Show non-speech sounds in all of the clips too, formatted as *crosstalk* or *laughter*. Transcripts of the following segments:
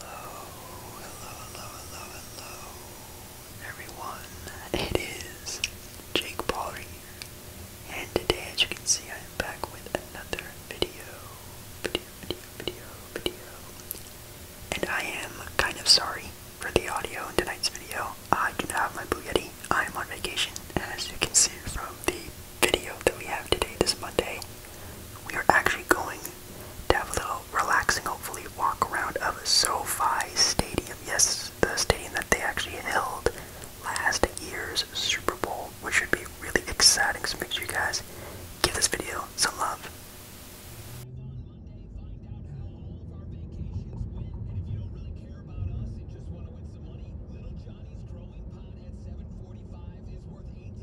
Hello, hello, hello, hello, hello, everyone. It is Jake Paul and today, as you can see, I am back with another video, video, video, video, video. And I am kind of sorry for the audio in tonight's video. I do not have my Blue Yeti. I am on vacation, as you can see from the video that we have today, this Monday. We are actually going to have a little relaxing, hopefully, walk around of SoFi Stadium. Yes, the stadium that they actually held last year's Super Bowl, which should be really exciting. So make sure you guys give this video some love.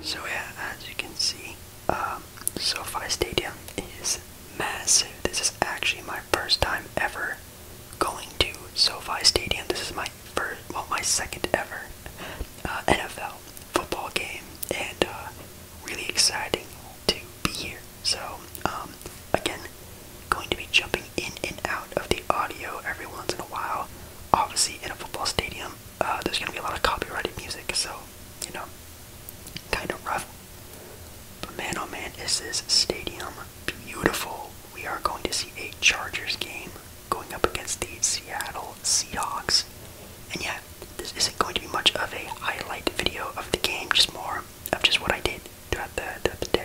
So yeah, as you can see, um, SoFi Stadium is massive. This is actually my first time ever going to SoFi Stadium. This is my first, well, my second ever uh, NFL football game, and uh, really exciting to be here. So, um, again, going to be jumping in and out of the audio every once in a while. Obviously, in a football stadium, uh, there's gonna be a lot of copyrighted music, so you know, kind of rough. But man, oh man, is this stadium beautiful? We are going to see a Chargers game going up against the Seattle Seahawks, and yet this isn't going to be much of a highlight video of the game, just more of just what I did throughout the day.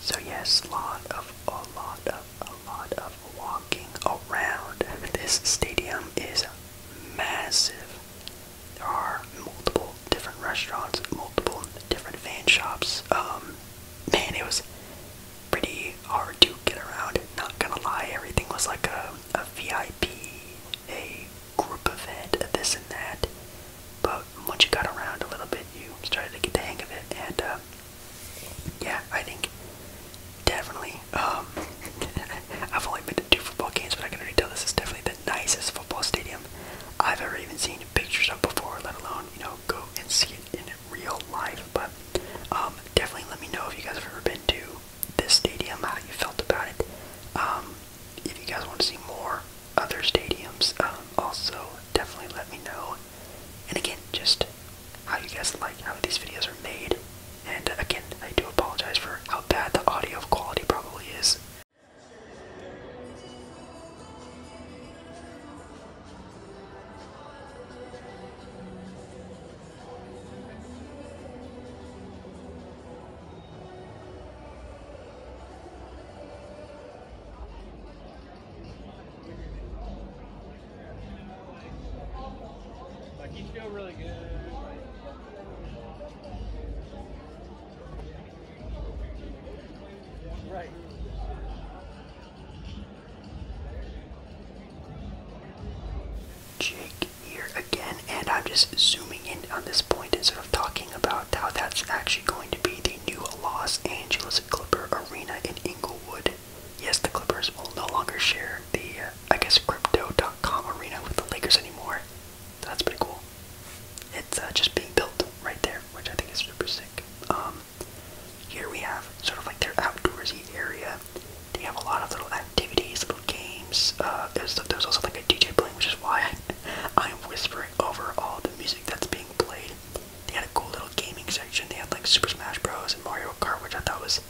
So yes, lot of a lot of a lot of walking around. This stadium is massive. There are multiple different restaurants, multiple different fan shops. Um, man, it was pretty hard to get around. Not gonna lie, everything was like a, a VIP, a group event, this and that. But out. Uh, once you got around a little bit, you started to get the hang of it. And uh, yeah, I think definitely. Um, *laughs* I've only been to two football games, but I can already tell this is definitely the nicest football stadium I've ever even seen pictures of before, let alone you know go and see it in real life. But um, definitely let me know if you guys have ever been to this stadium, how you felt about it. Um, if you guys want to see more other stadiums. Um, also, definitely let me know. And again, just how you guys like how these videos are made. And again, I do apologize for how bad the audio quality probably is. Like, you feel really good. right. Jig here again, and I'm just zooming in on this point and sort of talking about how that's actually going to be the new Los Angeles Clipper Arena in Inglewood. Yes, the Clippers will no longer share the, uh, I guess, Crypto.com arena with the Lakers anymore. That's pretty cool. It's uh, just being built right there, which I think is super sick. Um, here we have sort of like their outdoorsy area. They have a lot of little activities, little games. Uh, there's also like a DJ playing, which is why *laughs* I'm whispering over all the music that's being played. They had a cool little gaming section. They had like Super Smash Bros. and Mario Kart, which I thought was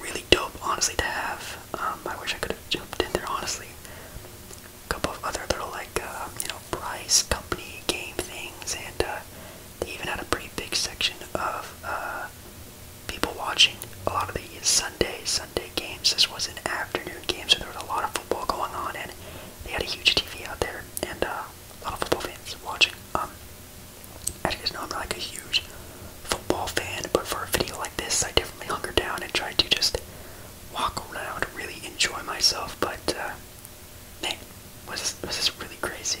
really dope, honestly, to have. Um, I wish I could have jumped in there, honestly. A couple of other little like uh, you know price company game things, and uh, they even had a pretty big section of uh, people watching. A lot of the Sunday Sunday games. This was an afternoon game, so there was a lot of football going on, and they had a huge TV out there and uh, a lot of football fans watching. Um, as you guys know, I'm not like a huge football fan, but for a video like this, I definitely hunker down and try to just walk around, really enjoy myself. But uh, man, was this, was this really crazy?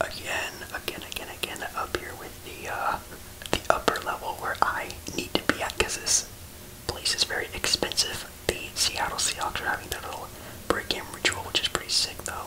again, again, again, again, up here with the uh, the upper level where I need to be at because this place is very expensive. The Seattle Seahawks are having their little break-in ritual, which is pretty sick though.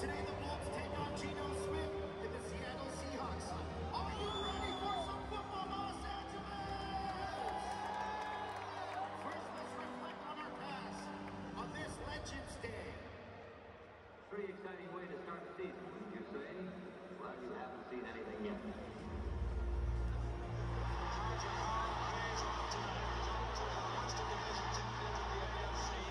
Today the Wolves take on Geno Smith and the Seattle Seahawks. Are you ready for some football, Los Angeles? First, let's reflect on our past on this Legends Day. Pretty exciting way to start the season, wouldn't you say? Well, you haven't seen anything yet. Tonight, results in the Western Division Championship of the AFC.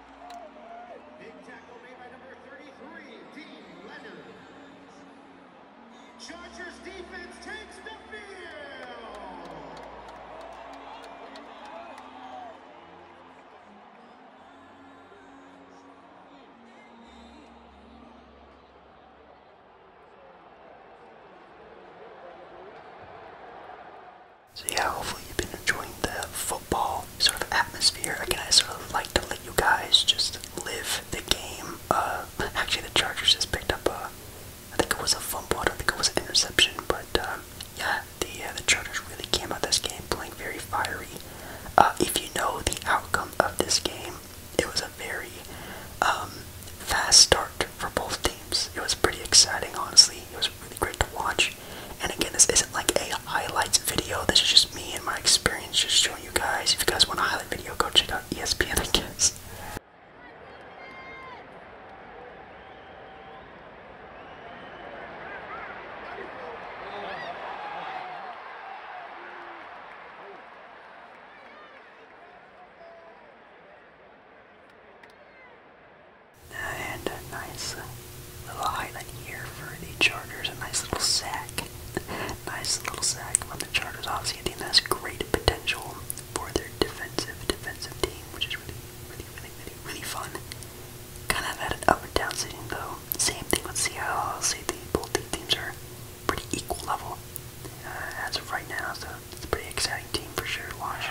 Big tackle made by number 33, Dean Leonard. Chargers defense takes the field! So yeah, hopefully you've been enjoying the football sort of atmosphere. Again, I sort of like to let you guys just live the game. Uh, actually, the Chargers just picked up a, I think it was a fumble. I don't think it was an interception, but uh, yeah, the uh, the Chargers really came out this game playing very fiery. Uh, if you know the outcome of this game, it was a very um, fast start for both teams. It was pretty exciting, honestly. It was really great to watch. And again, this isn't like a highlights video. This is just me and my experience, just showing you guys. If you guys want a highlight video, go check out ESPN, I and a nice little highlight here for the Chargers. A nice little sack. nice little sack from the Chargers. Obviously, team. think that's great potential for their defensive, defensive team, which is really, really, really, really, fun. Kind of had an up and down season, though. Same thing with Seattle. I'll say the both teams are pretty equal level uh, as of right now, so it's a pretty exciting team for sure to watch.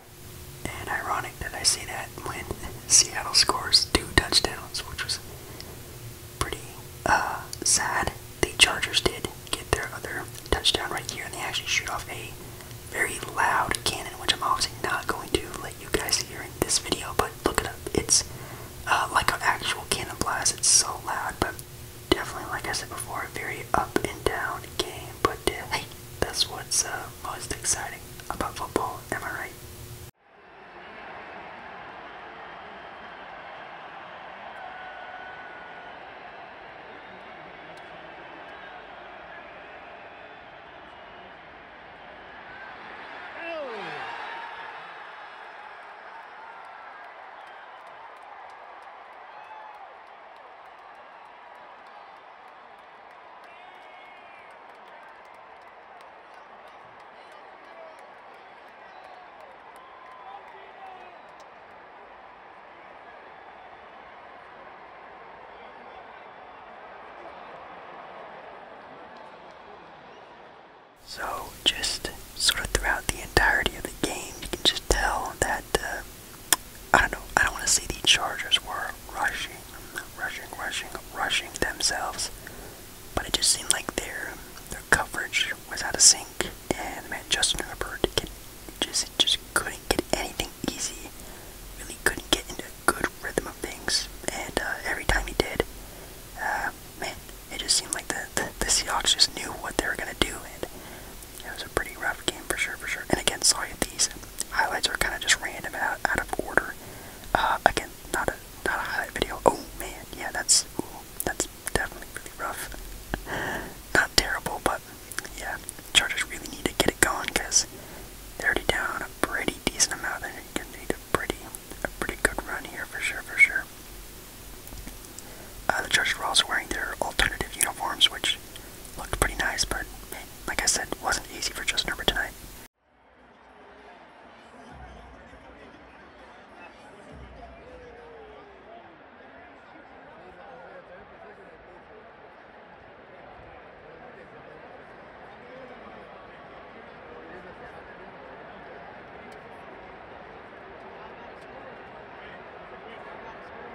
And ironic that I see that when Seattle scores two touchdowns, which was pretty uh, sad. The Chargers did get their other touchdown right here, and they actually shoot off a very loud cannon, which I'm obviously not going to let you guys hear in this video, but look it up. It's uh, like an actual cannon blast. It's so loud, but definitely, like I said before, a very up and down game. But uh, that's what's uh, most exciting about football, am I right? So, just sort of throughout the entirety of the game, you can just tell that uh, I don't know. I don't want to say the Chargers were rushing, rushing, rushing, rushing themselves, but it just seemed like their their coverage was out of sync, and man, Justin Herbert can, just just couldn't get anything easy. Really couldn't get into a good rhythm of things, and uh, every time he did, uh, man, it just seemed like the, the the Seahawks just knew what they were gonna do, and it was a pretty rough game for sure, for sure. And again, sorry if these highlights are kind of just random out, out of order. Uh, again, not a not a highlight video. Oh man, yeah, that's that's definitely really rough. *laughs* Not terrible, but yeah, Chargers really need to get it going because they're already down a pretty decent amount. They're going need a pretty a pretty good run here for sure, for sure. Uh, the Chargers were also wearing their alternative uniforms, which looked pretty nice, but like I said, wasn't easy for Just Number tonight.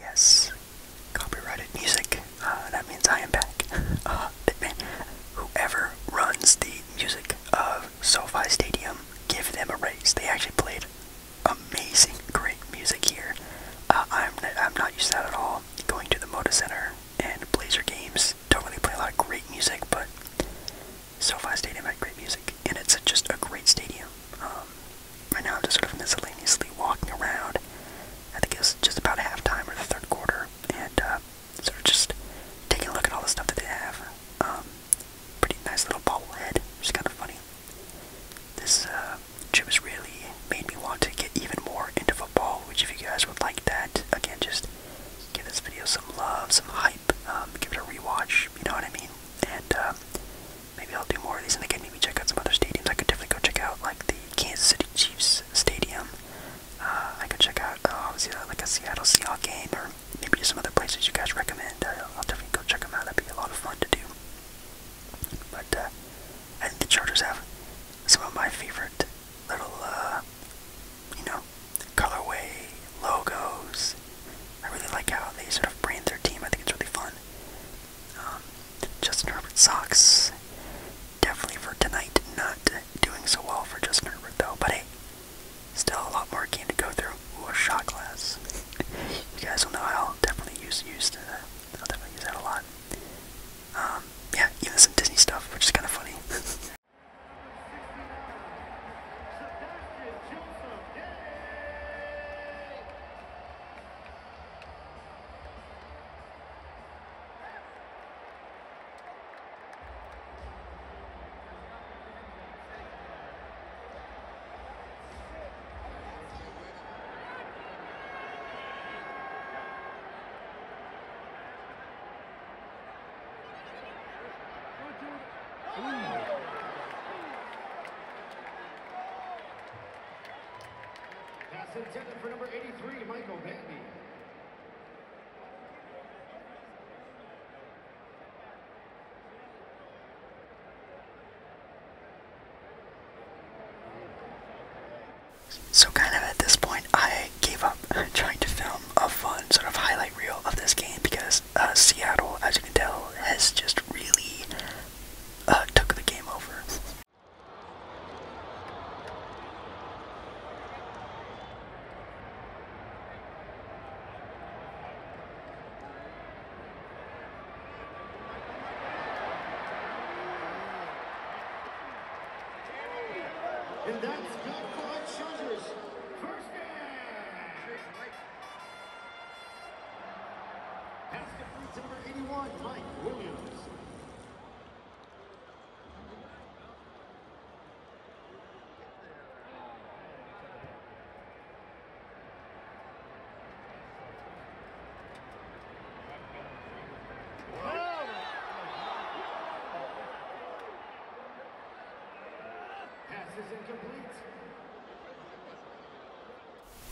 Yes, copyrighted music. Uh, that means I am back. *laughs* Uh, whoever runs the music of SoFi Stadium, give them a raise. They actually played amazing, great music here. Uh, I'm I'm not used to that at all. Going to the Moda Center and Blazer games don't really play a lot of great music, but SoFi Stadium had great music, and it's just a great stadium. Um, right now, I'm just sort of miscellaneously walking around. I think it's just about halftime or the third quarter, and uh, sort of just taking a look at all the stuff that they have. Um, pretty nice little bobblehead, which is kind of funny. This uh, which was really made me want to get even more into football. Which, if you guys would like that, again, just give this video some love, some hype, um, give it a rewatch. You know what I mean? And um, maybe I'll do more of these, and again, maybe check out some other stadiums. I could definitely go check out like the Kansas City Chiefs stadium. Uh, I could check out uh, obviously uh, like a Seattle Seahawks game, or maybe some other places you guys recommend. I'll definitely go check them out. That'd be a lot of fun to do. But uh, I think the Chargers have some of my favorite little, uh, you know, colorway logos. I really like how they sort of brand their team. I think it's really fun. Um, Justin Herbert socks. Definitely for tonight, not doing so well for Justin Herbert though. But hey, still a lot more game to go through. a shot glass. *laughs* you guys will know I'll definitely use use the. I'll definitely use that a lot. Um, yeah, even some Disney stuff, which is kind of funny. *laughs* intended for number 83, Michael Bandy. So kind of at this point, I gave up *laughs* trying to film a fun sort of highlight reel of this game because uh, Seattle, as you can tell, has just really uh, took the game over. And that's good for Chargers. First down. Pass complete to number 81, Mike Williams.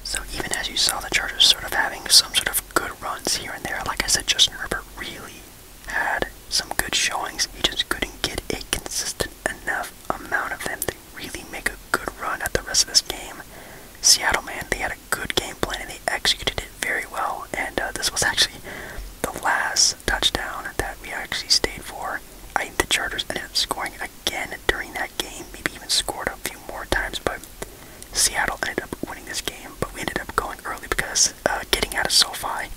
So even as you saw the Chargers sort of having some sort of good runs here and there, like I said, Justin Herbert really had some good showings. He just couldn't get a consistent enough amount of them to really make a good run at the rest of this game. Seattle, man, they had a good game plan and they executed it very well. And uh, this was actually the last touchdown that we actually stayed for. the Chargers ended up scoring again during that game, maybe even scored a few more times, but Seattle ended up winning this game. But we ended up going early because uh, getting out of SoFi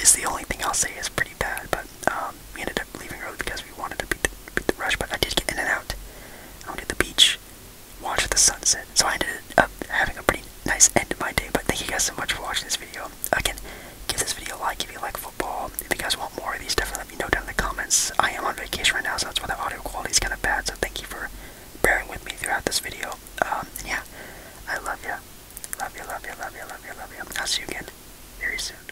is the only thing I'll say is pretty bad. But um, um, we ended up leaving early because we wanted to beat the, rush, but I did get in and out. I went to the beach, watched the sunset. So I ended up having a pretty nice end to my day. But thank you guys so much for watching this video. Again, give this video a like if you like football. If you guys want more of these, definitely let me know down in the comments. I am on vacation right now, so that's why the audio quality is kind of bad. So thank you for bearing with me throughout this video. Um, and yeah, I love you. Love you, love you, love you, love you, love you. I'll see you again very soon.